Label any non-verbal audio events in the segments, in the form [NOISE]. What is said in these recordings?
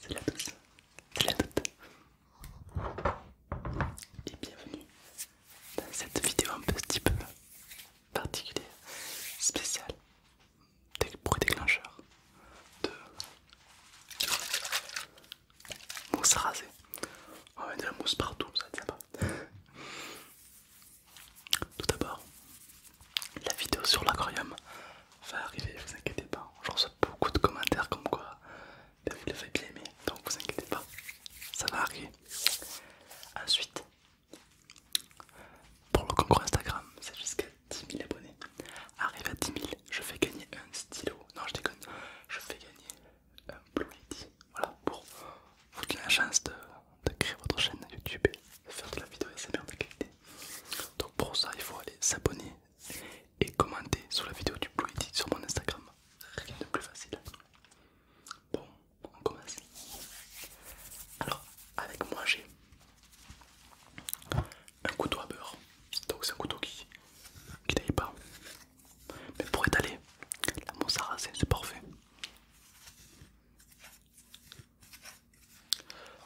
Salut à tous, salut à toutes et bienvenue dans cette vidéo un petit peu particulière, spéciale pour les déclencheurs de mousse rasée. On met de la mousse partout, ça va être sympa. Tout d'abord, la vidéo sur l'aquarium va arriver, vous inquiétez pas. Je reçois beaucoup de commentaires comme quoi vous l'avez bien aimé, donc vous inquiétez pas, ça va arriver. Ensuite, pour le concours Instagram, c'est jusqu'à 10 000 abonnés. Arrive à 10 000, je fais gagner un stylo. Non, je déconne, je fais gagner un Blue Lady. Voilà, pour vous donner la chance de, créer votre chaîne YouTube et de faire de la vidéo SMR de qualité. Donc pour ça, il faut aller s'abonner et commenter sur la vidéo du Blue Etique sur mon Instagram. Rien de plus facile. Bon, on commence. Alors, avec moi, j'ai un couteau à beurre. Donc c'est un couteau qui, qui pas. Mais pour étaler la mousse à c'est parfait.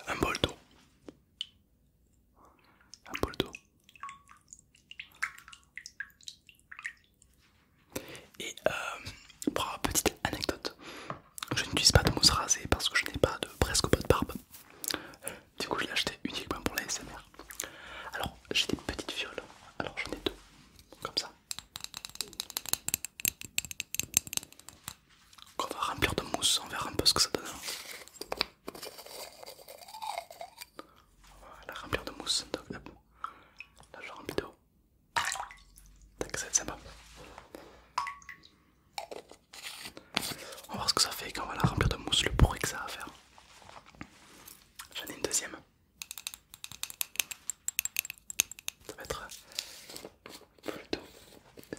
Un bol d'eau. Un bol d'eau. Et euh, pour une petite anecdote, je n'utilise pas de mousse rasée parce que je n'ai pas de presque pas de barbe. Du coup, je l'ai acheté uniquement pour la SMR. Alors, j'ai des petites fioles. Alors, j'en ai deux, comme ça qu'on va remplir de mousse, on verra un peu ce que ça donne. on la remplir de mousse, donc là, là je remplis d'eau. Tac, ça va être sympa. On va voir ce que ça fait quand on va la remplir de mousse, le bruit que ça va faire. J'en ai une deuxième. Ça va être plutôt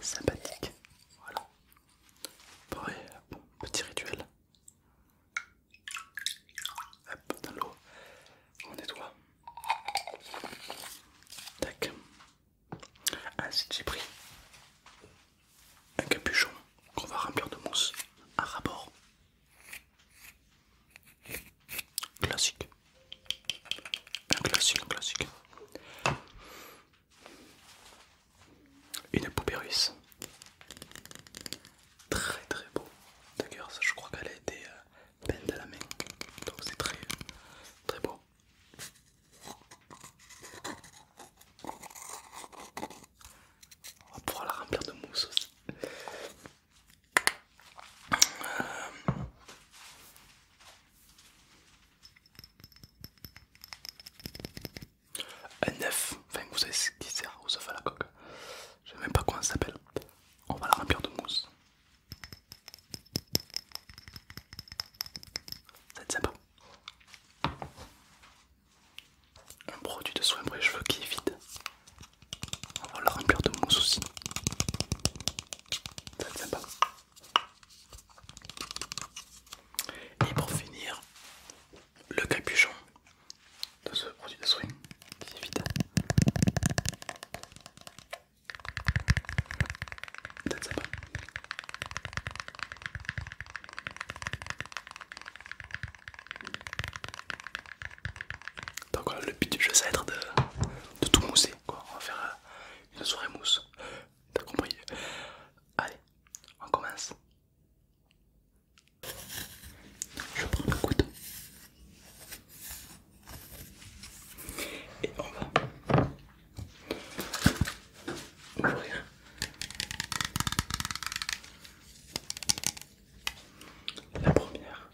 sympathique. Voilà. petit rituel. Hop, dans l'eau, on nettoie. Tac. que j'ai pris un capuchon qu'on va remplir de mousse à rapport. Classique. Un classique, un classique. Une poupée russe. Très très beau. D'ailleurs, je crois qu'elle a été euh, peinte à la main. Donc c'est très très beau. On va pouvoir la remplir de mousse aussi. Euh, un œuf, enfin vous savez ce qui sert au œufs à la coque, je ne sais même pas comment ça s'appelle. On va la remplir de mousse. Ça va être sympa. Un produit de soin pour les cheveux qui est vide. On va la remplir de mousse aussi. Ça va être sympa. Et pour finir, le capuchon de ce produit de soin qui est Donc voilà, le but du jeu, ça de tout mousser quoi. On va faire euh, une soirée mousse. T'as compris Allez, on commence. Je prends le couteau. Et on va ouvrir la première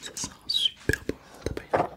Ça sent super bon, t'as pas idée.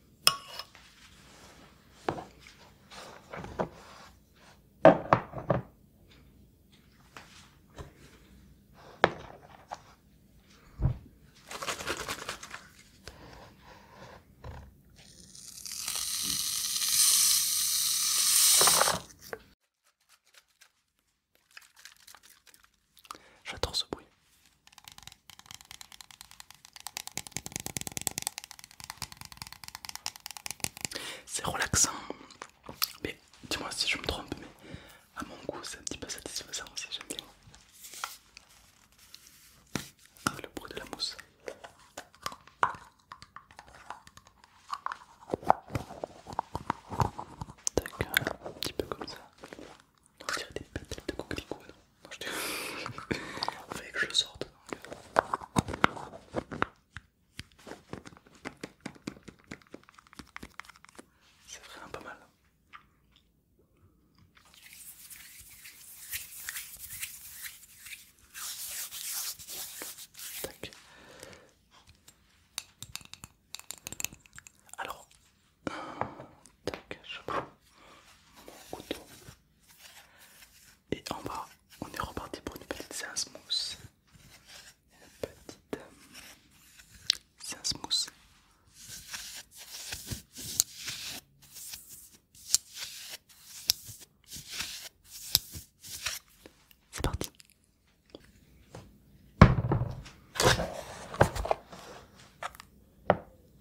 J'attends ce bruit. C'est relaxant, mais dis-moi si je me trompe, mais à mon goût c'est un petit peu satisfaisant aussi, j'aime bien. Ah, le bruit de la mousse. D'accord, un petit peu comme ça. On dirait des pétales de coquelicot, non, je Il [LAUGHS] fallait que je sorte. C'est vraiment pas mal. Tac. Alors, tac, je prends mon couteau, et en bas, on est reparti pour une petite séance mousse. Une petite euh, séance mousse. C'est parti.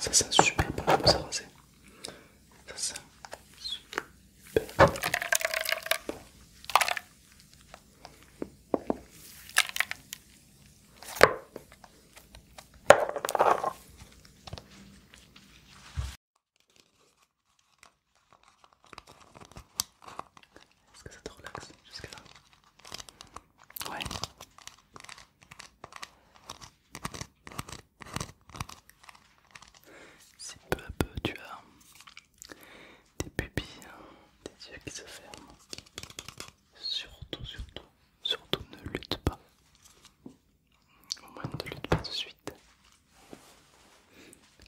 Ça sent super bon ça est-ce que ça te relaxe jusqu'à là Ouais. Si peu à peu tu as des pupilles, hein, des yeux qui se ferment, surtout, surtout, surtout ne lutte pas au moins ne lutte pas de suite.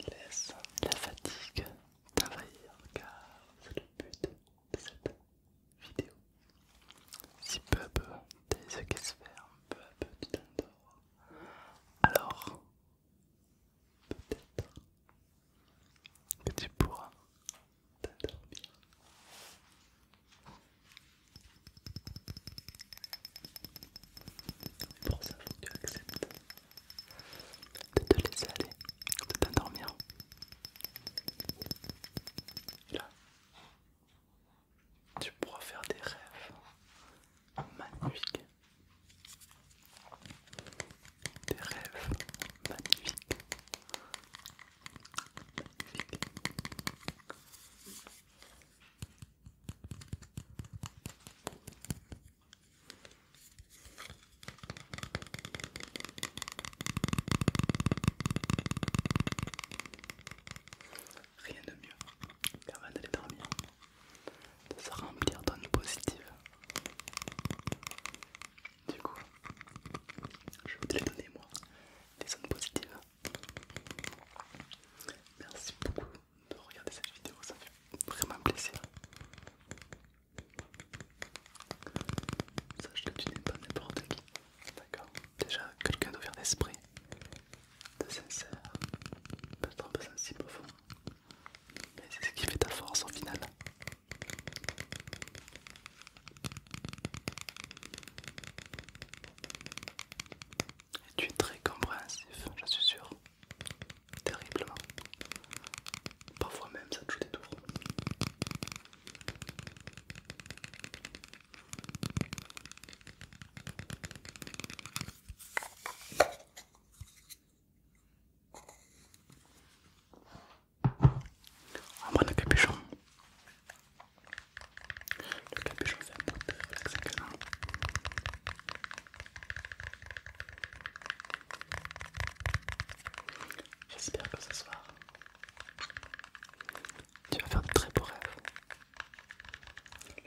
Laisse la fatigue t'envahir car c'est le but de cette vidéo. Si peu à peu tes yeux qui se ferment, peu à peu tu t'endors, alors peut-être que tu pourras t'endormir pour ça, faut que tu acceptes de te laisser aller, de t'endormir. Et là, tu pourras faire des rêves magnifiques. Des rêves magnifiques. Rien de mieux qu'avant d'aller dormir, de se remplir d'onde positives. Du coup, je vais vous les donner moi, les zones positives. Merci beaucoup de regarder cette vidéo, ça fait vraiment plaisir. Sache que tu n'es pas n'importe qui, d'accord Déjà, quelqu'un d'ouvert d'esprit, de sincère, peut-être un peu sensible au fond, mais c'est ce qui fait ta force au final tu es très compréhensif, je suis sûr. Terriblement. Parfois même ça te joue des tours. on bas le capuchon, le capuchon J'espère que ce soir tu vas faire de très beaux rêves.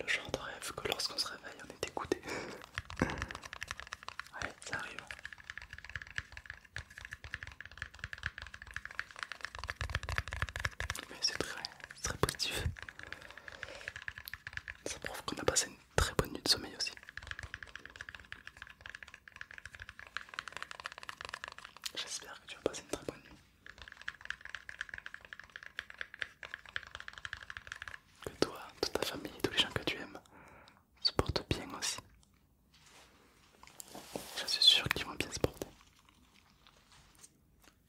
Le genre de rêve que lorsqu'on se réveille on est écouté. [LAUGHS] ouais, ça arrive. Mais c'est très, très positif. Ça prouve qu'on a passé une très bonne nuit de sommeil aussi. J'espère que tu vas passer une très bonne nuit. Que toi, toute ta famille, tous les gens que tu aimes se portent bien aussi. Je suis sûr qu'ils vont bien se porter.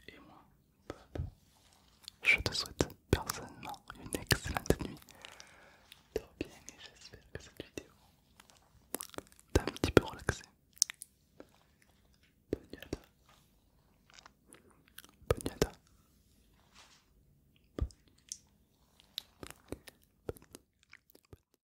Et moi, je te souhaite personnellement une excellente nuit. Dors bien et j'espère que cette vidéo t'a un petit peu relaxé. Bonne nuit à toi. Bonne nuit. Bonne nuit.